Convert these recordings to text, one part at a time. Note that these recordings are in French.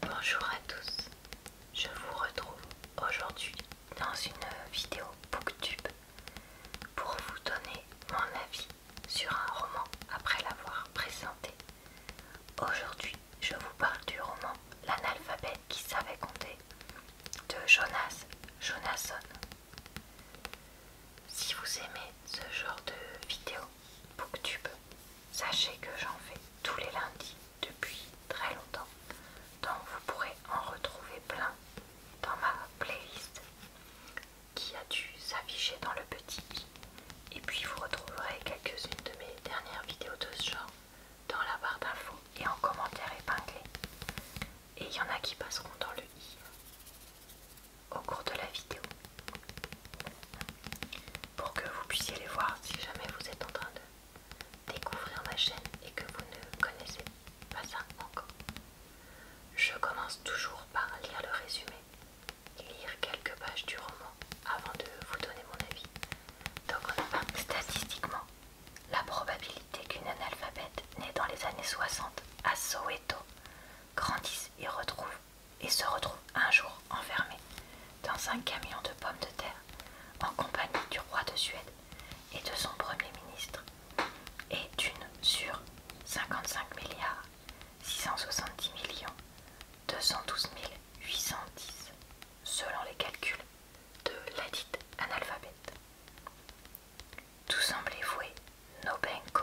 Bonjour à tous, je vous retrouve aujourd'hui dans une vidéo booktube pour vous donner mon avis sur un roman après l'avoir présenté. Aujourd'hui je vous parle du roman l'analphabet qui savait compter de Jonas Jonasson. Si vous aimez ce genre de vidéo booktube, Sachez que j'en fais tous les lundis depuis très longtemps, donc vous pourrez en retrouver plein dans ma playlist qui a dû s'afficher dans le petit Et puis vous retrouverez quelques-unes de mes dernières vidéos de ce genre dans la barre d'infos et en commentaire épinglé. Et il y en a qui passeront dans le i au cours de la vidéo pour que vous puissiez les voir si jamais vous êtes en train de découvrir ma chaîne et que vous ne connaissez pas ça encore. Je commence toujours par lire le résumé, lire quelques pages du roman avant de vous donner mon avis. Donc on a statistiquement la probabilité qu'une analphabète née dans les années 60 à Soweto grandisse et retrouve et se retrouve un jour enfermé dans un camion de pommes de terre en compagnie du roi de Suède et de son premier ministre et d'une sur 55 milliards 670 millions 212 810 selon les calculs de ladite analphabète. Tout semblait vouer Nobenko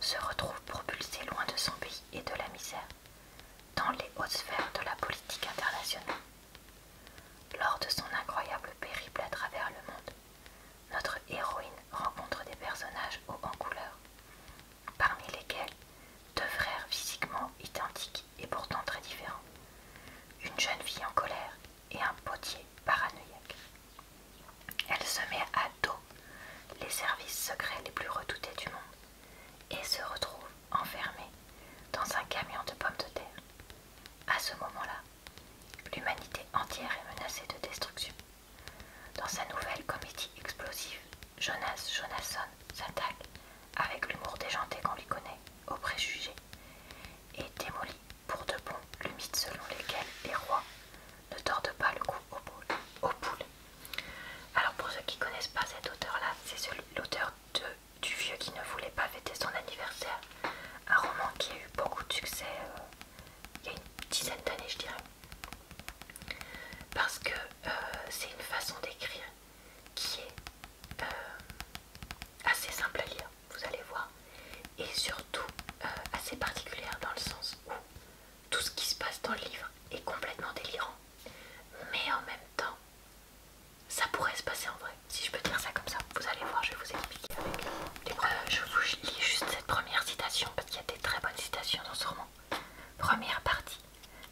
se retrouve propulsée loin de son pays et de la misère, dans les hautes sphères de la politique internationale. Lors de son incroyable périple à travers le monde, notre héroïne rencontre des personnages hauts en couleur, parmi lesquels deux frères physiquement identiques et pourtant très différents, une jeune fille en colère et un potier paranoïaque. Elle se met à dos les services secrets les plus redoutés du monde et se retrouve enfermée dans un camion de pommes de terre. À ce moment-là, l'humanité entière est menacée de destruction. Dans sa nouvelle comédie explosive, Jonas Jonasson s'attaque avec l'humour déjanté qu'on lui connaît au préjugé, et démolit pour de bon le mythe selon lequel les rois ne torde pas le coup aux poules. Alors pour ceux qui connaissent pas cet auteur-là, c'est l'auteur du vieux qui ne voulait pas fêter son anniversaire. Un roman qui a eu beaucoup de succès euh, il y a une dizaine d'années, je dirais. Parce que euh, c'est une façon d'écrire qui est euh, assez simple à lire, vous allez voir, et surtout assez particulière dans le sens où tout ce qui se passe dans le livre est complètement délirant. Mais en même temps, ça pourrait se passer en vrai. Si je peux dire ça comme ça, vous allez voir, je vais vous expliquer euh, Je vous lis juste cette première citation parce qu'il y a des très bonnes citations dans ce roman. Première partie.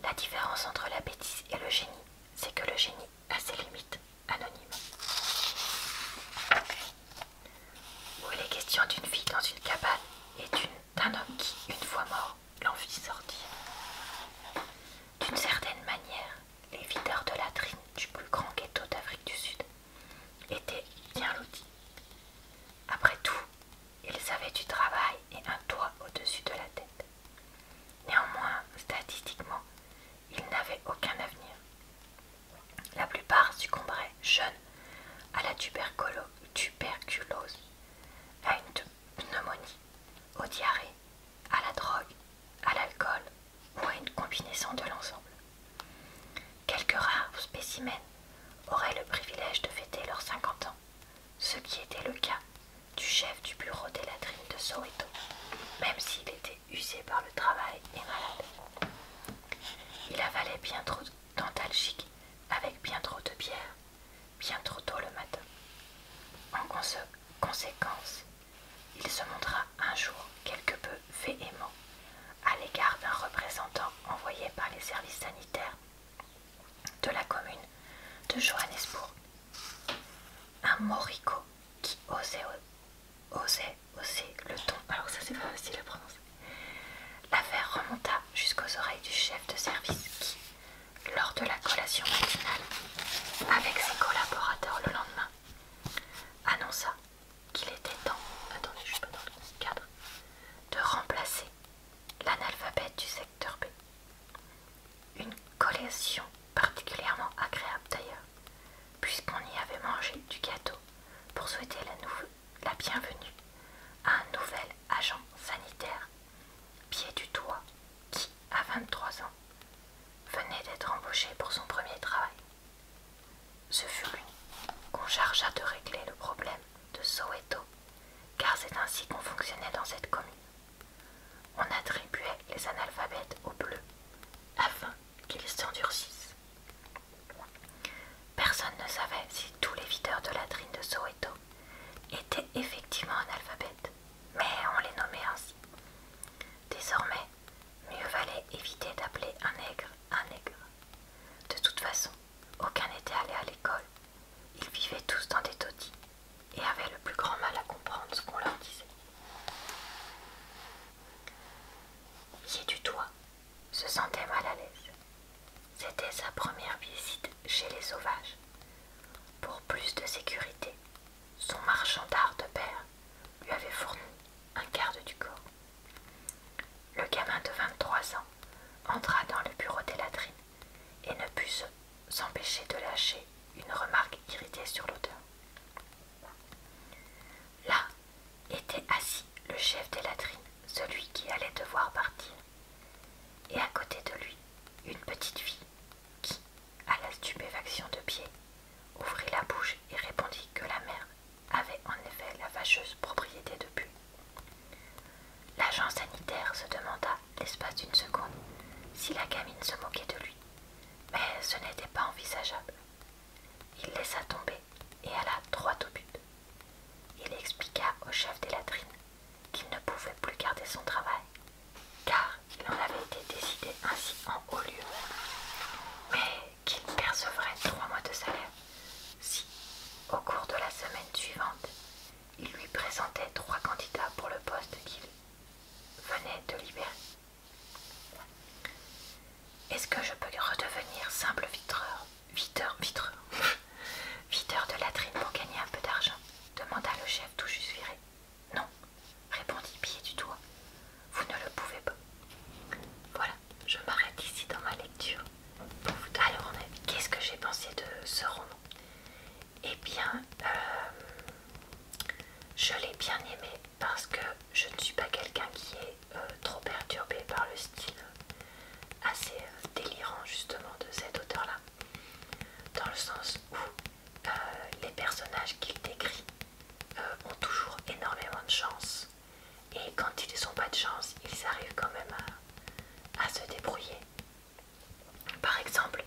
La différence entre la bêtise et le génie, c'est que le génie a ses limites. Anonyme où il est question d'une fille dans une cabane et d'un homme qui, une fois mort, l'en fit sortir. D'une certaine manière, les videurs de latrines du plus grand ghetto d'Afrique du Sud étaient bien lotis. Après tout, ils avaient du travail et un toit au-dessus de la tête. Néanmoins, statistiquement, ils n'avaient aucun avenir. La plupart succomberaient jeunes à la tuberculose, à une pneumonie, au diarrhée, à la drogue, à l'alcool ou à une combinaison de l'ensemble. Quelques rares spécimens auraient le privilège de fêter leurs 50 ans, ce qui était le cas du chef du bureau des latrines de Soweto, même s'il était usé par le travail et malade. Il avalait bien trop d'antalgiques avec bien trop de bière, bien trop tôt le matin. En conséquence, il se montra un jour quelque peu véhément à l'égard d'un représentant envoyé par les services sanitaires de la commune de Johannesburg. Un morico qui osait osait oser le ton. Alors ça c'est pas facile à prononcer. L'affaire remonta jusqu'aux oreilles du chef de service qui, lors de la collation matinale, avec ses collaborateurs le lendemain, annonça qu'il était temps, attendez, je dans le cadre, de remplacer l'analphabète du secteur B. Une collation particulièrement agréable d'ailleurs, puisqu'on y avait mangé du gâteau pour souhaiter la, bienvenue à un nouvel agent sanitaire, pied du toit, qui, à 23 ans, venait d'être embauché pour son premier travail. Ce fut lui qu'on chargea de régler le problème de Soweto, car c'est ainsi qu'on fonctionnait dans cette commune. On attribuait les analphabètes aux bleus afin qu'ils s'endurcissent. Personne ne savait si tous les videurs de latrine de Soweto étaient effectivement analphabètes, mais on les nommait ainsi. Désormais, mieux valait éviter d'appeler un nègre un nègre. De toute façon, aucun n'était allé à l'école. Ils vivaient tous dans des taudis et avaient le plus grand mal à comprendre ce qu'on leur disait. J'ai du toit se sentait mal à l'aise. C'était sa première visite chez les sauvages. Pour plus de sécurité, son marchand d'art de père lui avait fourni un quart du corps. Le gamin de 23 ans entra dans le bureau des latrines et ne put s'empêcher de lâcher une remarque irritée sur l'auteur. Là était assis le chef des latrines, celui qui allait devoir partir, et à côté de lui une petite fille qui, à la stupéfaction de pied, ouvrit la bouche et répondit que la mère avait en effet la fâcheuse propriété de Pu. L'agent sanitaire se demanda, l'espace d'une seconde, si la gamine se moquait de lui, mais ce n'était pas envisageable. Il laissa tomber et alla droit au but. Il expliqua au chef des latrines qu'il ne pouvait plus garder son travail, car il en avait été décidé ainsi en haut lieu, mais qu'il percevrait trois mois de salaire si, au cours de la semaine suivante, il lui présentait trois candidats pour le poste qu'il venait de libérer. Est-ce que je peux redevenir simple vitreur Viteur, vitreur de latrine pour gagner un peu d'argent demanda le chef tout juste viré. Non, répondit Pied du doigt. Vous ne le pouvez pas. Voilà, je m'arrête ici dans ma lecture. Alors, qu'est-ce que j'ai pensé de ce roman Eh bien, euh, je l'ai bien aimé parce que je ne suis pas quelqu'un qui est euh, trop perturbé par le style assez euh, délirant justement de cet auteur-là, dans le sens où euh, les personnages qu'il décrit ont toujours énormément de chance, et quand ils n'ont pas de chance, ils arrivent quand même à se débrouiller. Par exemple,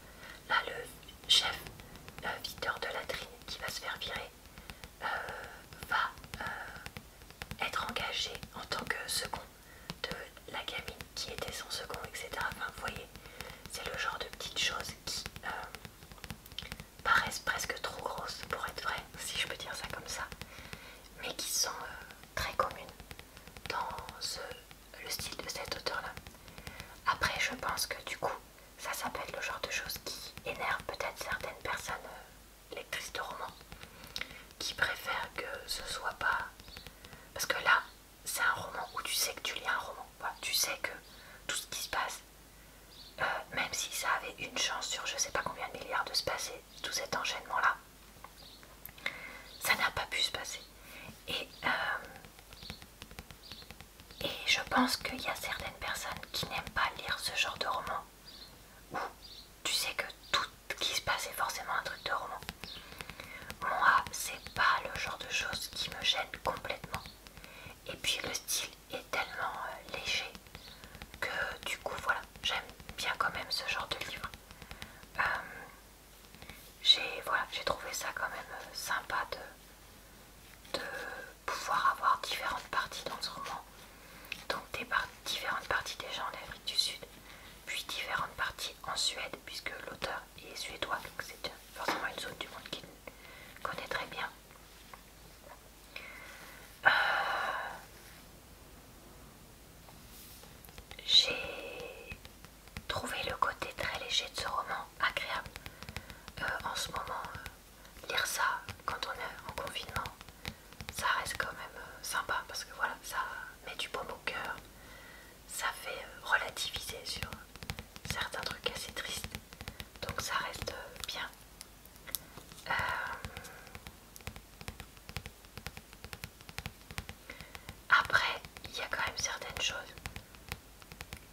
Là, le chef viteur Victor de Latrine, qui va se faire virer, euh, va euh, être engagé en tant que second de la gamine qui était son second, etc. Enfin, vous voyez, c'est le genre de petites choses qui euh, paraissent presque trop grosses pour être vraies, si je peux dire ça comme ça, mais qui sont très communes dans le style de cet auteur-là. Après, je pense que du coup, ça, s'appelle le genre de choses qui énerve peut-être certaines personnes euh, lectrices de romans qui préfèrent que ce soit pas. Parce que là, c'est un roman où tu sais que tu lis un roman. Tu sais que tout ce qui se passe, euh, même si ça avait une chance sur je sais pas combien de milliards de se passer, tout cet enchaînement-là, ça n'a pas pu se passer. Et euh, et je pense qu'il y a certaines personnes qui n'aiment pas lire ce genre de roman. ou tu sais que tout ce qui se passe est forcément un truc de roman. Moi, c'est pas le genre de chose qui me gêne complètement. Et puis le style est tellement euh, léger que du coup, voilà, j'aime bien quand même ce genre de livre. Euh, j'ai trouvé ça quand même euh, sympa de, de pouvoir avoir différentes parties dans ce roman. Donc différentes parties déjà en Afrique du Sud, puis différentes parties en Suède, puisque l'auteur est suédois, donc c'est forcément une zone du monde qu'il connaît très bien. Euh, j'ai trouver le côté très léger de ce roman, agréable. Euh, en ce moment, euh, lire ça quand on est en confinement, ça reste quand même euh, sympa parce que voilà, ça met du bon au cœur, ça fait relativiser sur certains trucs assez tristes, donc ça reste bien. Après, il y a quand même certaines choses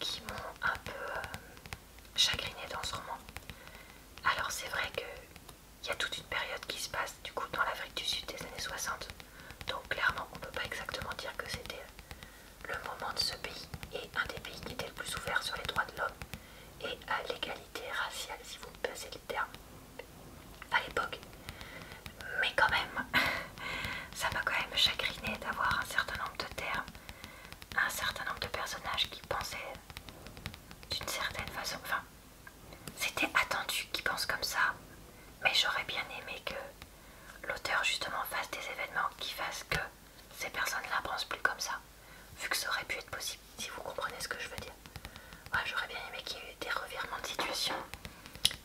qui m'ont un peu chagrinée euh, chagriné dans ce roman. Alors c'est vrai qu'il y a toute une période qui se passe du coup dans l'Afrique du Sud des années 60. Donc clairement on ne peut pas exactement dire que c'était le moment de ce pays et un des pays qui était le plus ouvert sur les droits de l'homme et à l'égalité raciale si vous me passez le terme à l'époque mais quand même, ça m'a quand même chagriné d'avoir un certain nombre de termes, un certain nombre de personnages qui pensaient d'une certaine façon. Enfin, c'était attendu qu'ils pensent comme ça, mais j'aurais bien aimé que l'auteur justement fasse des événements qui fassent que ces personnes-là pensent plus comme ça, vu que ça aurait pu être possible, si vous comprenez ce que je veux dire. j'aurais bien aimé qu'il y ait eu des revirements de situation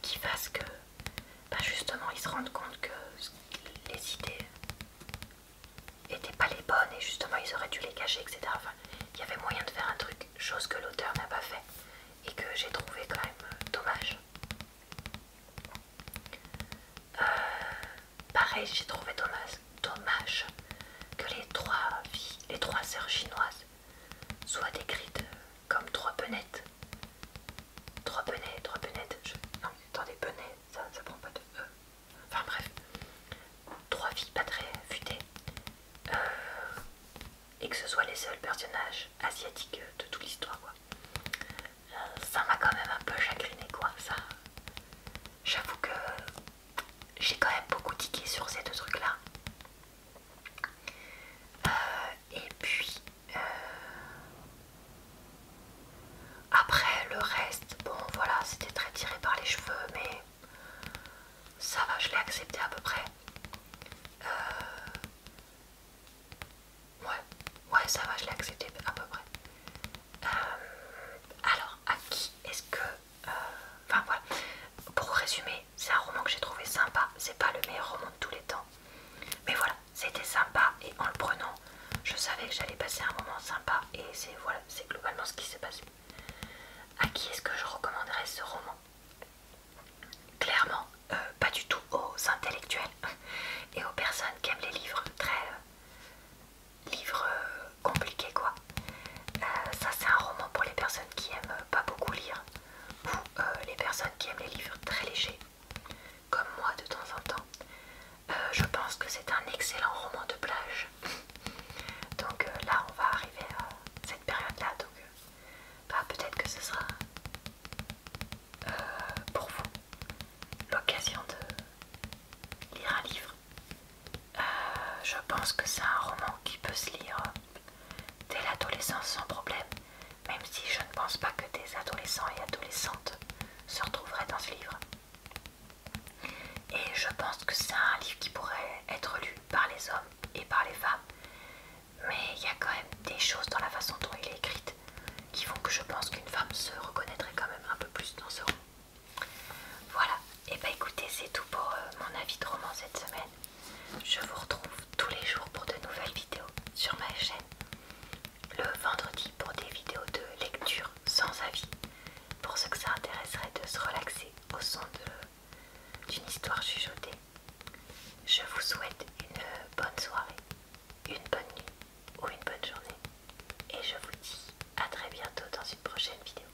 qui fassent que bah justement ils se rendent compte que les idées étaient pas les bonnes et justement ils auraient dû les cacher, etc. Enfin, il y avait moyen de faire un truc, chose que l'auteur n'a pas fait et que j'ai trouvé quand même euh, dommage. Euh, pareil, j'ai trouvé dommage, dommage que les trois filles, les trois sœurs chinoises soient décrites comme trois penettes Trois bonnets trois bonnets, je... non, attendez, bonnets ça, ça prend pas de E. Enfin bref, trois filles pas très futées, euh, et que ce soit les seuls personnages asiatiques de toute l'histoire, quoi. Euh, ça m'a quand même un peu chagriné, quoi, ça. J'avoue que j'ai quand même beaucoup tiqué sur ces deux trucs-là. Euh, et puis euh, après le reste, bon voilà, c'était très tiré par les cheveux, mais ça va, je l'ai accepté à peu près. Euh, ouais, ouais, ça va, je l'ai accepté à peu près. alors, à qui est-ce que... Enfin voilà, pour résumer, c'est un roman que j'ai trouvé sympa. C'est pas le meilleur roman de tous les temps, mais voilà, c'était sympa. Et en le prenant, je savais que j'allais passer un moment sympa. Et c'est voilà, c'est globalement ce qui s'est passé. À qui est-ce que je recommanderais ce roman Clairement, euh, pas du tout aux intellectuels et aux personnes qui aiment les livres très euh, livres euh, compliqués quoi. ça c'est un roman pour les personnes qui aiment pas beaucoup lire ou euh, les personnes qui aiment les livres très légers, comme moi de temps en temps. Euh, je pense que c'est un excellent roman de plage. donc euh, là, on va arriver à cette période-là. Donc bah, peut-être que ce sera pour vous l'occasion de lire un livre. je pense que c'est un roman qui peut se lire dès l'adolescence sans problème, même si je ne pense pas que des adolescents et adolescentes se retrouveraient dans ce livre. Et je pense que c'est un livre qui pourrait être lu par les hommes et par les femmes. Mais il y a quand même des choses dans la façon dont il est écrite qui font que je pense qu'une femme se reconnaîtrait quand même un peu plus dans ce roman. Voilà, et eh bah ben, écoutez, c'est tout pour euh, mon avis de roman cette semaine. Je vous retrouve tous les jours pour de nouvelles vidéos sur ma chaîne. Le vendredi pour des vidéos de lecture sans avis. Pour ceux que ça intéresserait de se relaxer au son d'une histoire chuchotée. Je vous souhaite une bonne soirée, une bonne nuit ou une bonne journée. Et je vous dis à très bientôt dans une prochaine vidéo.